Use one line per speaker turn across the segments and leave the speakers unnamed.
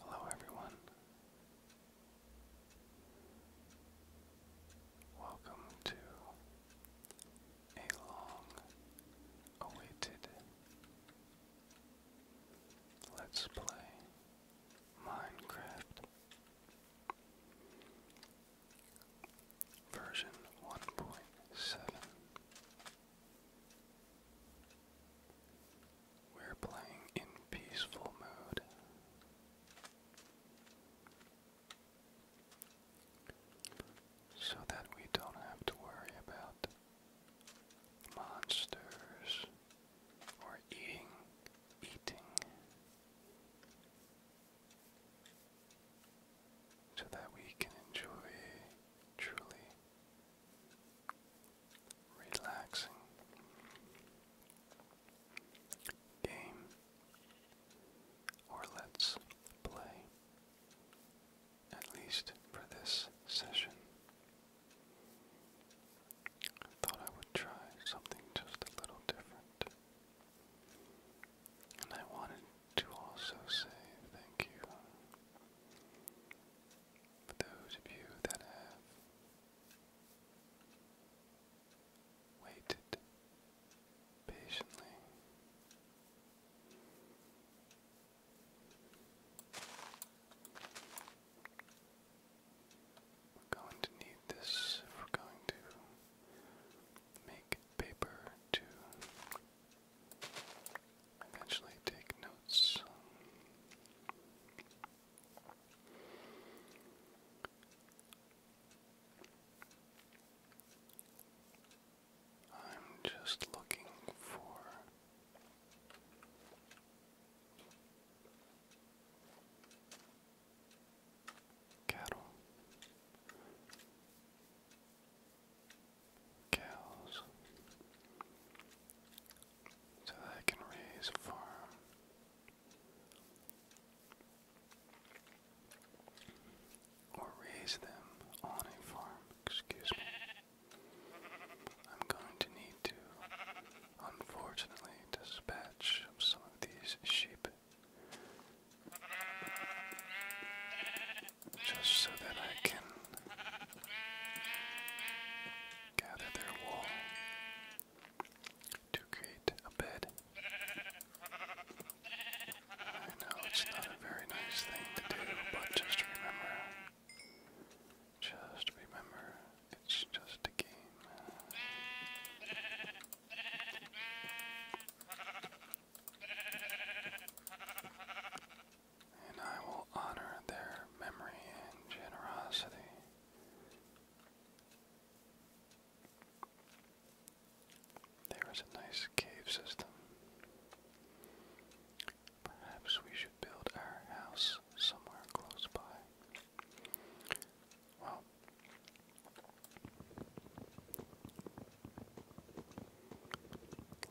Hello, everyone. Welcome to a long awaited Let's Play Minecraft version 1.7. We're playing in peaceful mode. So that we don't have to worry about monsters or eating, eating so that we can enjoy truly relaxing game or let's play at least for this session. I thought I would try something just a little different. And I wanted to also say thank you for those of you that have waited patiently going to need this if we're going to make paper to eventually take notes. I'm just looking for cattle, cows, so that I can raise a farm. Or raise them on a farm, excuse me. I'm going to need to, unfortunately, dispatch some of these sheep just so that I can gather their wool to create a bed. I know it's not a very nice thing to do, but just remember, just remember, it's just a game. And I will honor their memory and generosity. There is a nice cave system. Perhaps we should build our house somewhere close by. Wow.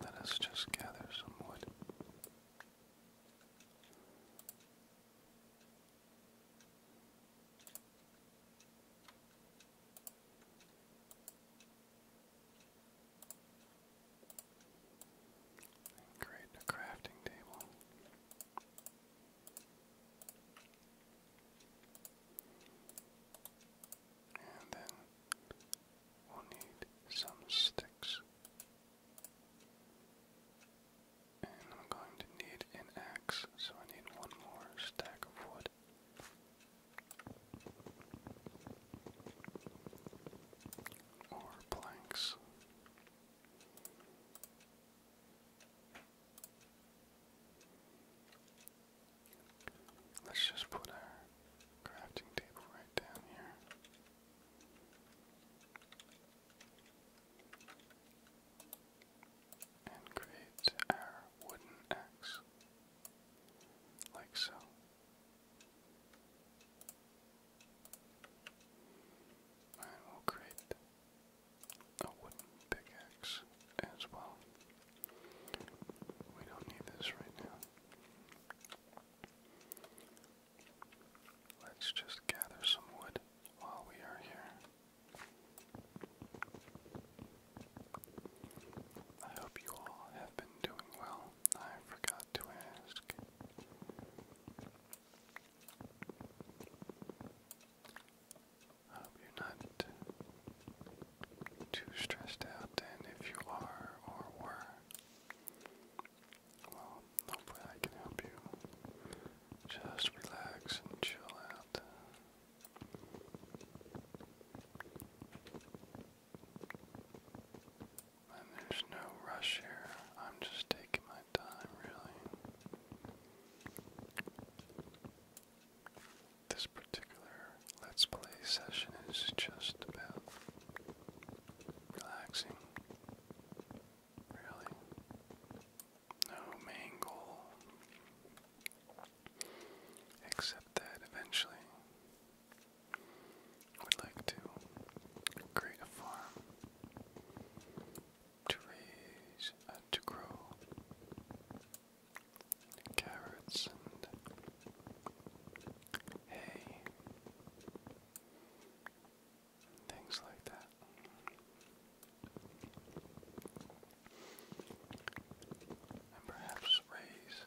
Let us just gather some wood. create a crafting table. And then we'll need some sticks. And I'm going to need an axe, so I need one more stack of wood. Or planks. Let's just put our crafting table right down here. And create our wooden axe. Like so. And will create a wooden pickaxe as well. We don't need this right now. Let's just gather some wood while we are here. I hope you all have been doing well. I forgot to ask hope you're not too stressed out, and if you are or were, well, hopefully I can help you just relax and chill out. And there's no rush here. I'm just taking my time, really. This particular Let's Play session is just about relaxing. Really. No main goal. Except that eventually would like to create a farm to raise and to grow carrots and hay things like that. And perhaps raise,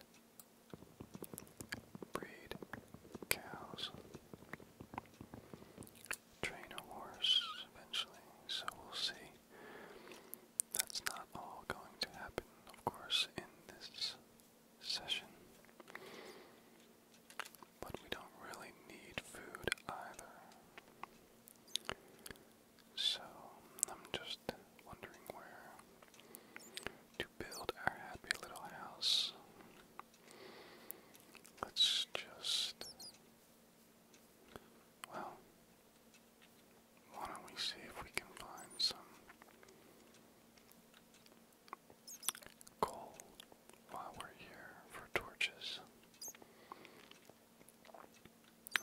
breed cows train a horse eventually, so we'll see. That's not all going to happen, of course, in this session. But we don't really need food either. So I'm just wondering where to build our happy little house. Let's just well, why don't we see if we can find some coal while we're here for torches?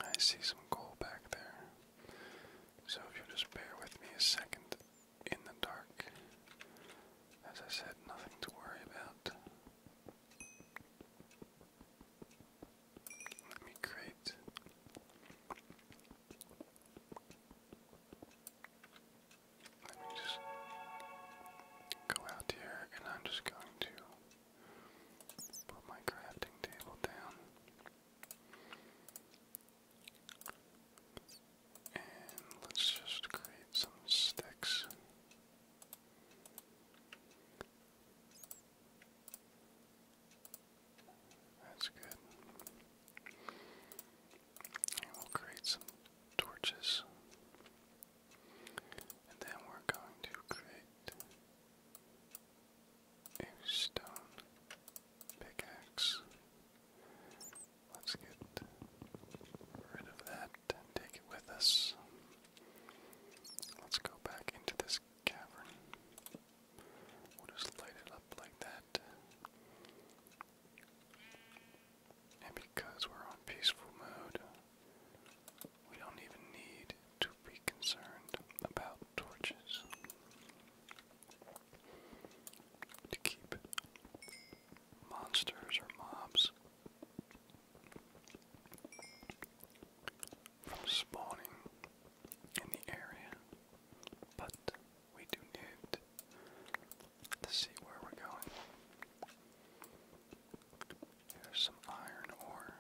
I see some coal back there. So if you just bear with me a second in the dark. As I said, nothing to worry about. Let me create. Let me just go out here and I'm just going to put my crafting table down. And let's just create some sticks. That's good. we'll create some torches. And then we're going to create a stone pickaxe. Let's get rid of that take it with us. Let's go back into this cavern. We'll just light it up like that. And because we're on peaceful mode, we don't even need to be concerned about torches to keep monsters or mobs from spawning in the area, but we do need to see where we're going. There's some iron ore.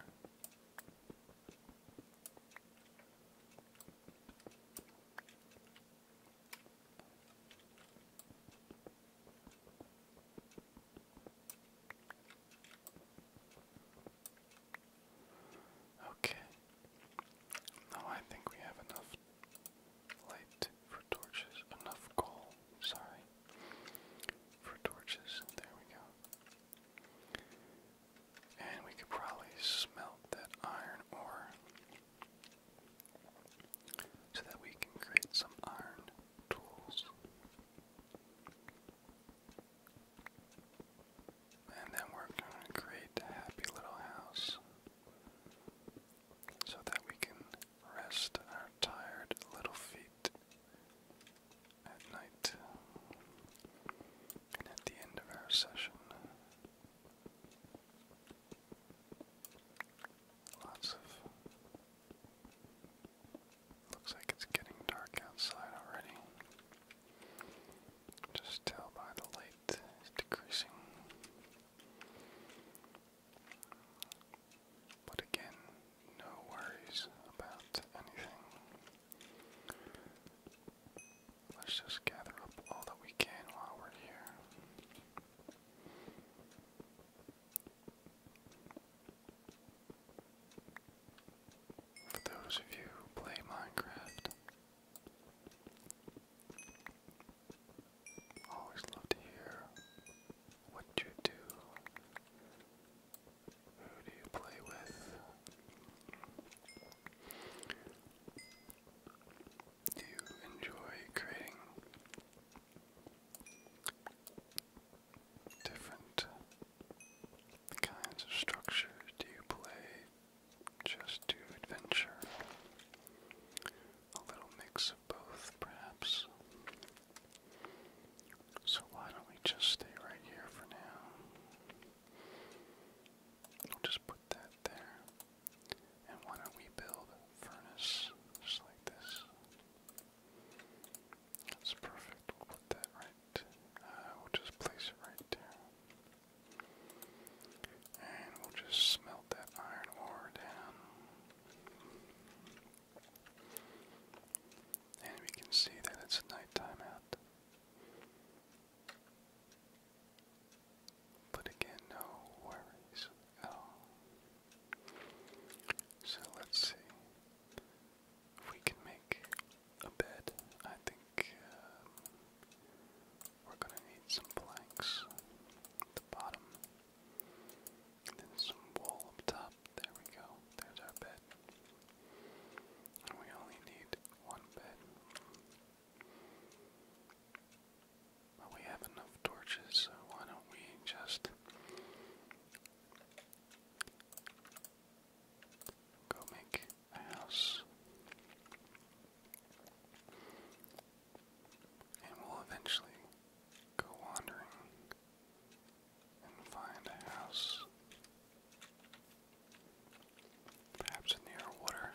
Okay. Now I think we have enough light for torches, enough coal, sorry, for torches. There we go. And we could probably smelt that iron ore so that we can create some iron tools. And then we're going to create a happy little house so that we can rest our tired little feet at night. And at the end of our session, Lots of. Looks like it's getting dark outside already. Just tell by the light decreasing. But again, no worries about anything. Let's just gather up all that we can while we're here. For those of you who play Minecraft, always love to hear what you do. Who do you play with? do you enjoy creating different kinds of structures? Do you play just to adventure? A little mix of both, perhaps. So, why don't we just stay right here for now? We'll just put that there. And why don't we build a furnace just like this? That's perfect. put that right. Uh, we'll just place it right there. And we'll just smelt that iron ore down. And we can see that it's nighttime out. But again, no worries So let's see. If we can make a bed, I think um, we're gonna need some planks at the bottom, then some wool up top. There we go. There's our bed. And we only need one bed. But we have enough torches, so why don't we just go make a house? And we'll eventually go wandering and find a house. Perhaps near water.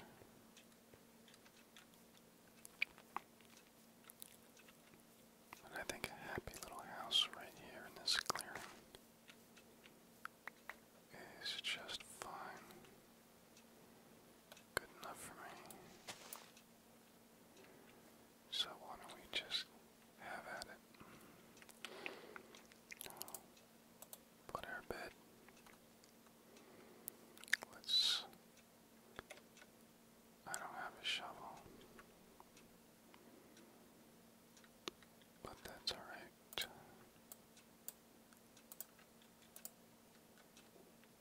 I think a happy little house right here in this clearing is just fine. Good enough for me. So why don't we just have at it? Put our bed. Let's I don't have a shovel. But that's alright.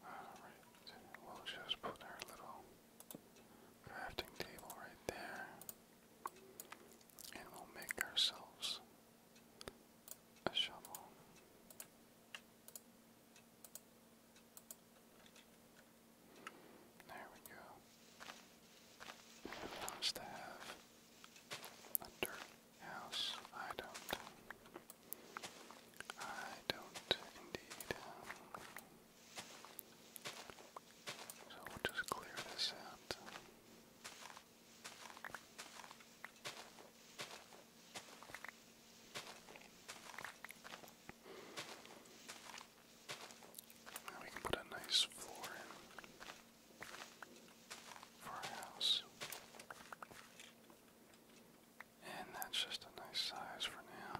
Alright, we'll just put our little crafting table right there. And we'll make ourselves a shovel. There we go. And have a dirt house. I don't. I don't indeed. So we'll just clear this out. Now we can put a nice floor in for our house. And that's just a nice size for now.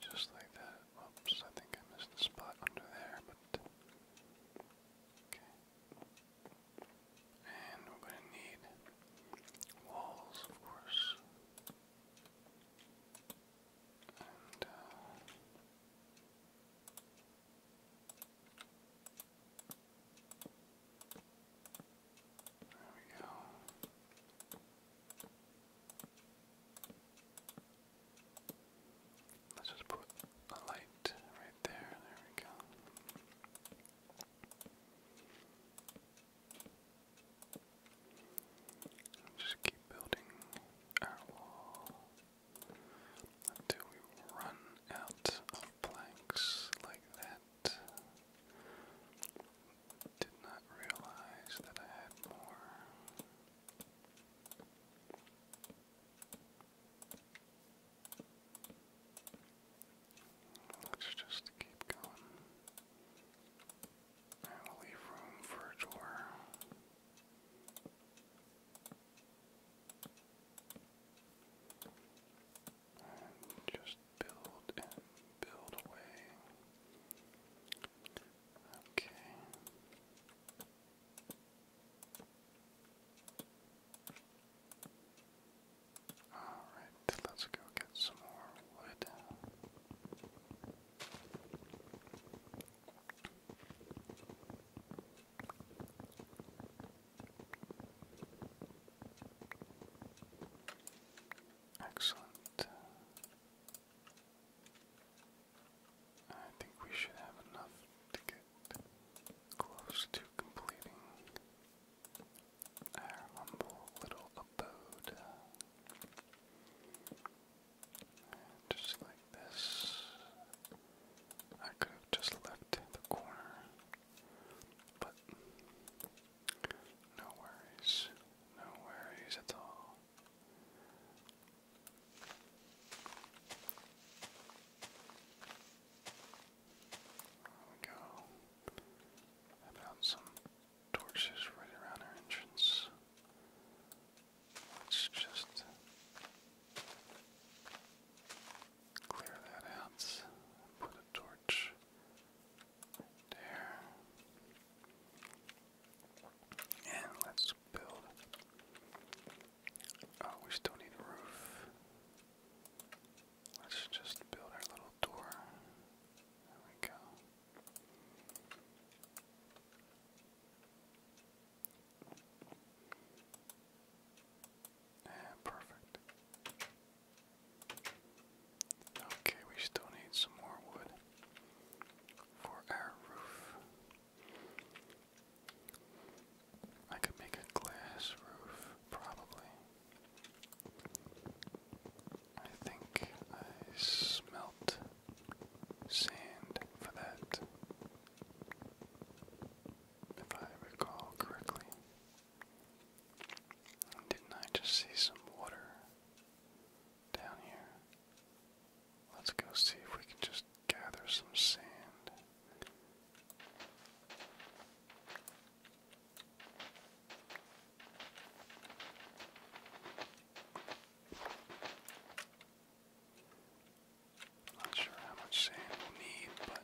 just like that. Oops, I think I missed the spot under there, but. Okay. And we're going to need walls, of course. And, uh, There we go. Let's just put a light right there. There we go. just keep building our wall until we run out of planks like that did not realize that I had more. Let's just keep going. And will leave room for a just build and build away. Okay. Alright, let's go get some more wood. Excellent. I think we should have enough to get close to completing our humble little abode. just like this, I could have just left the corner, but no worries, no worries at all. There go. I found some torches right around our entrance. Let's just clear that out. Put a torch there. And let's build. Oh, we still need a roof. Let's just build our little door. There we go. perfect. Okay, we still need some more wood for our roof. I could make a glass roof, probably. I think I smelt sand for that, if I recall correctly. Didn't I just see some water? down here. Let's go see if we can just gather some sand. Not sure how much sand we'll need, but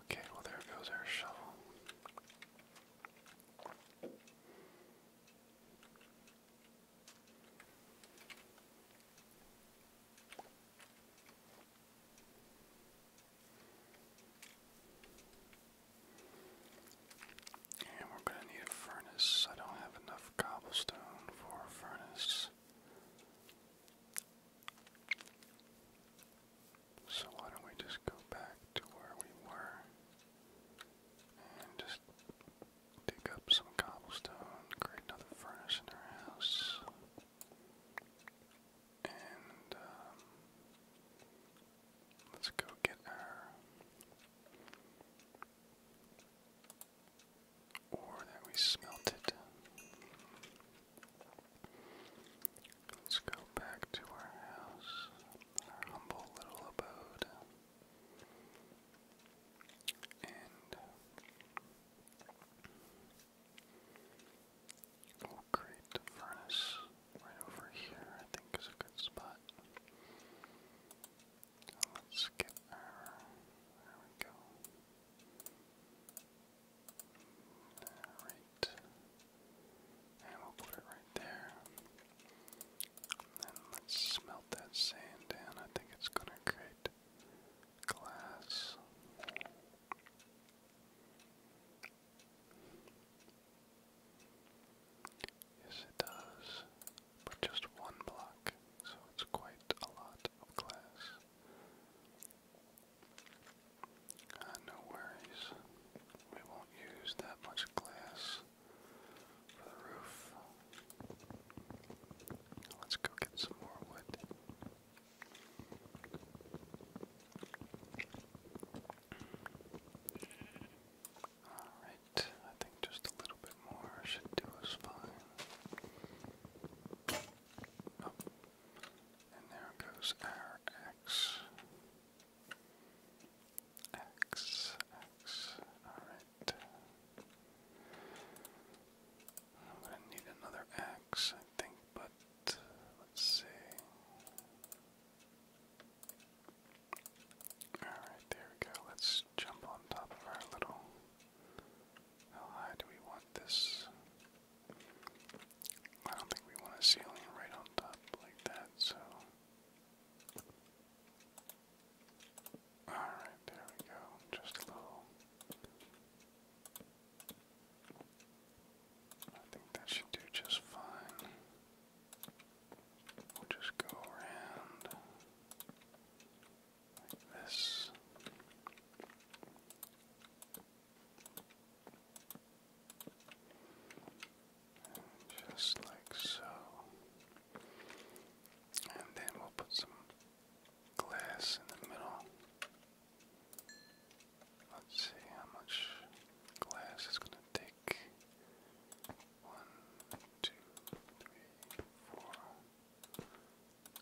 Okay, well, there goes our shovel. And we're going to need a furnace. I don't have enough cobblestone for a furnace. So why don't we just go back to where we were and just dig up some cobblestone, create another furnace in our house, and um, Let's go get our ore that we smelted. Let's go back to our house, our humble little abode. And we'll oh, furnace right over here, I think is a good spot. Let's get our. There we go. Alright. And we'll put it right there. And let's smelt that sand down. I think it's gonna create glass. Yes, it does, but just one block, so it's quite a lot of glass. Ah, no worries, we won't use that much glass for the roof. Let's go get some more wood. Alright, I think just a little bit more should do us fine. Oh, and there goes our axe. Axe, axe, alright. I'm gonna need another axe, I think, but uh, let's see. Alright, there we go. Let's jump on top of our little. How high do we want this? I don't think we want a ceiling right on top like that, so. Alright, there we go. Just a I think that should do just fine. We'll just go around this. just like so. And then we'll put some glass in the middle. Let's see how much glass it's going to take one, two, three, four,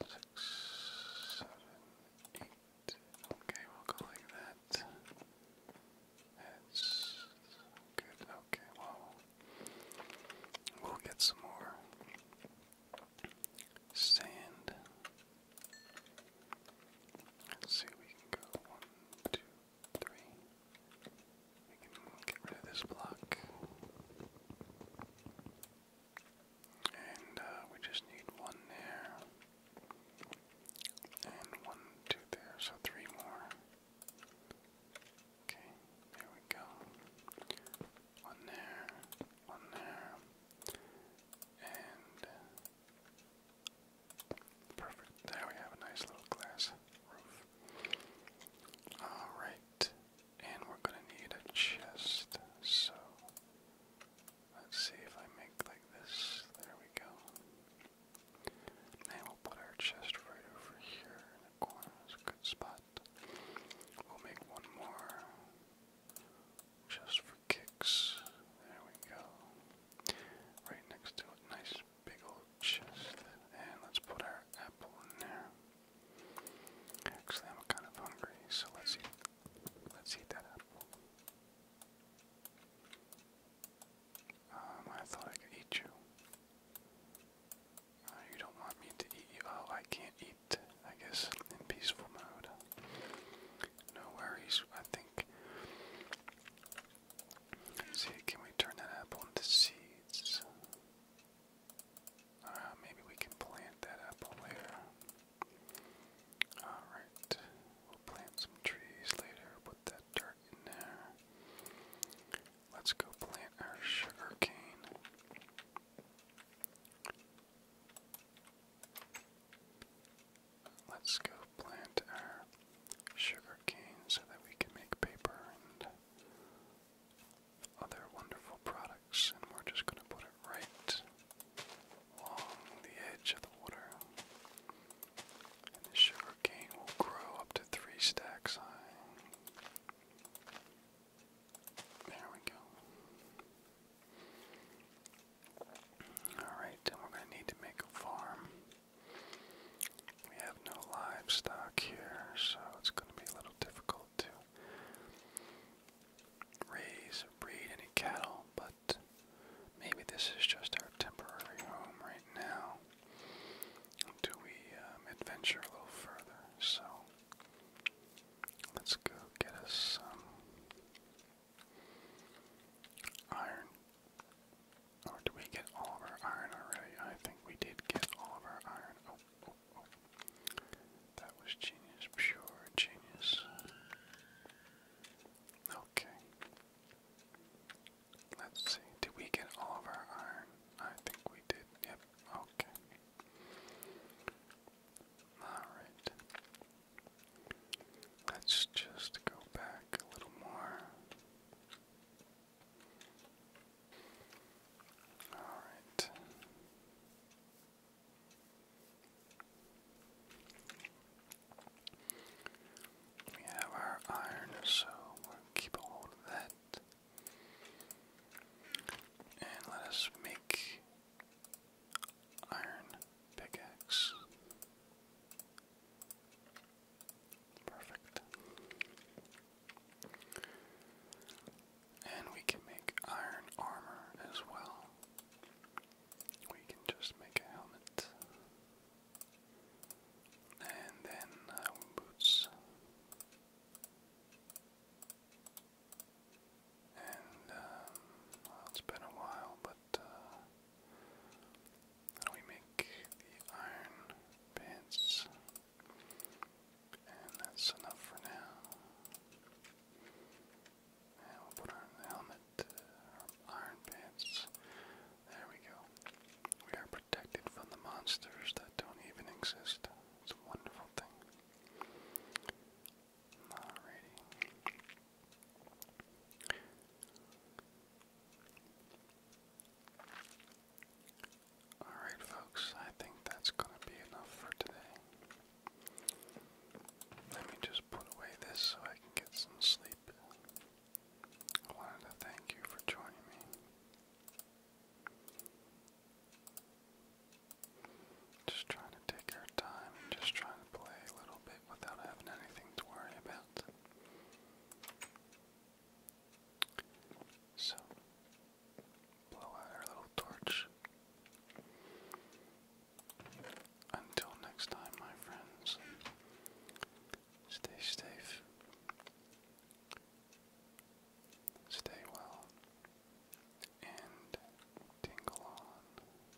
six, seven, eight. Okay, we'll go like that. That's good. Okay, well, we'll get some more sand. see, we can go one, two, three. We can get rid of this block. And uh, we just need one there. And one, two there, so three more. Okay, there we go. One there, one there, and Perfect. There we have a nice little glass roof. Alright. And we're gonna need a chest. So let's see if I make like this. There we go. And we'll put our chest right over here in the corner. It's a good spot. We'll make one more just for kicks. There we go. Right next to a nice big old chest. And let's put our apple in there. Actually, I'm kind of hungry, so let's eat. Let's eat that up. Um, I thought I could eat you. Uh, you don't want me to eat you. Oh, I can't eat. I guess in peaceful mode. No worries. I think See, can we turn that apple into seeds? Uh, maybe we can plant that apple later. Alright, we'll plant some trees later, put that dirt in there. Let's go plant our sugar cane. Let's go plant our sugar cane so that we can make paper and other wonderful products, and we're just going to put it right along the edge of the water. And the sugar cane will grow up to three stacks high. There we go. Alright, then we're going to need to make a farm. We have no livestock here, so it's going to be a little difficult to raise or breed any cattle, but maybe this is just our temporary home right now until we um, adventure a little further. So let's go get us some Iron. Or did we get all of our iron already? I think we did get all of our iron. Oh, oh, oh. That was genius. Pure genius. Okay. Let's see. Did we get all of our iron? I think we did. Yep. Okay. Alright. Let's just go back a little more. All right. We have our iron, so keep a hold of that. And let us make iron pickaxe. Perfect. And we can make iron armor as well. We can just make a helmet. And then uh, boots. And um, well, it's been a while, but how uh, do we make the iron pants? And that's enough for now. And we'll put on the helmet, iron pants. There we go. We are protected from the monsters that don't even exist. It's a wonderful thing. Alright, folks, I think that's going to be enough for today. Let me just put away this so I can get some sleep. I wanted to thank you for joining me. Just trying to take our time just trying to play a little bit without having anything to worry about. So, blow out our little torch. Until next time, my friends, stay safe, stay well, and tingle on.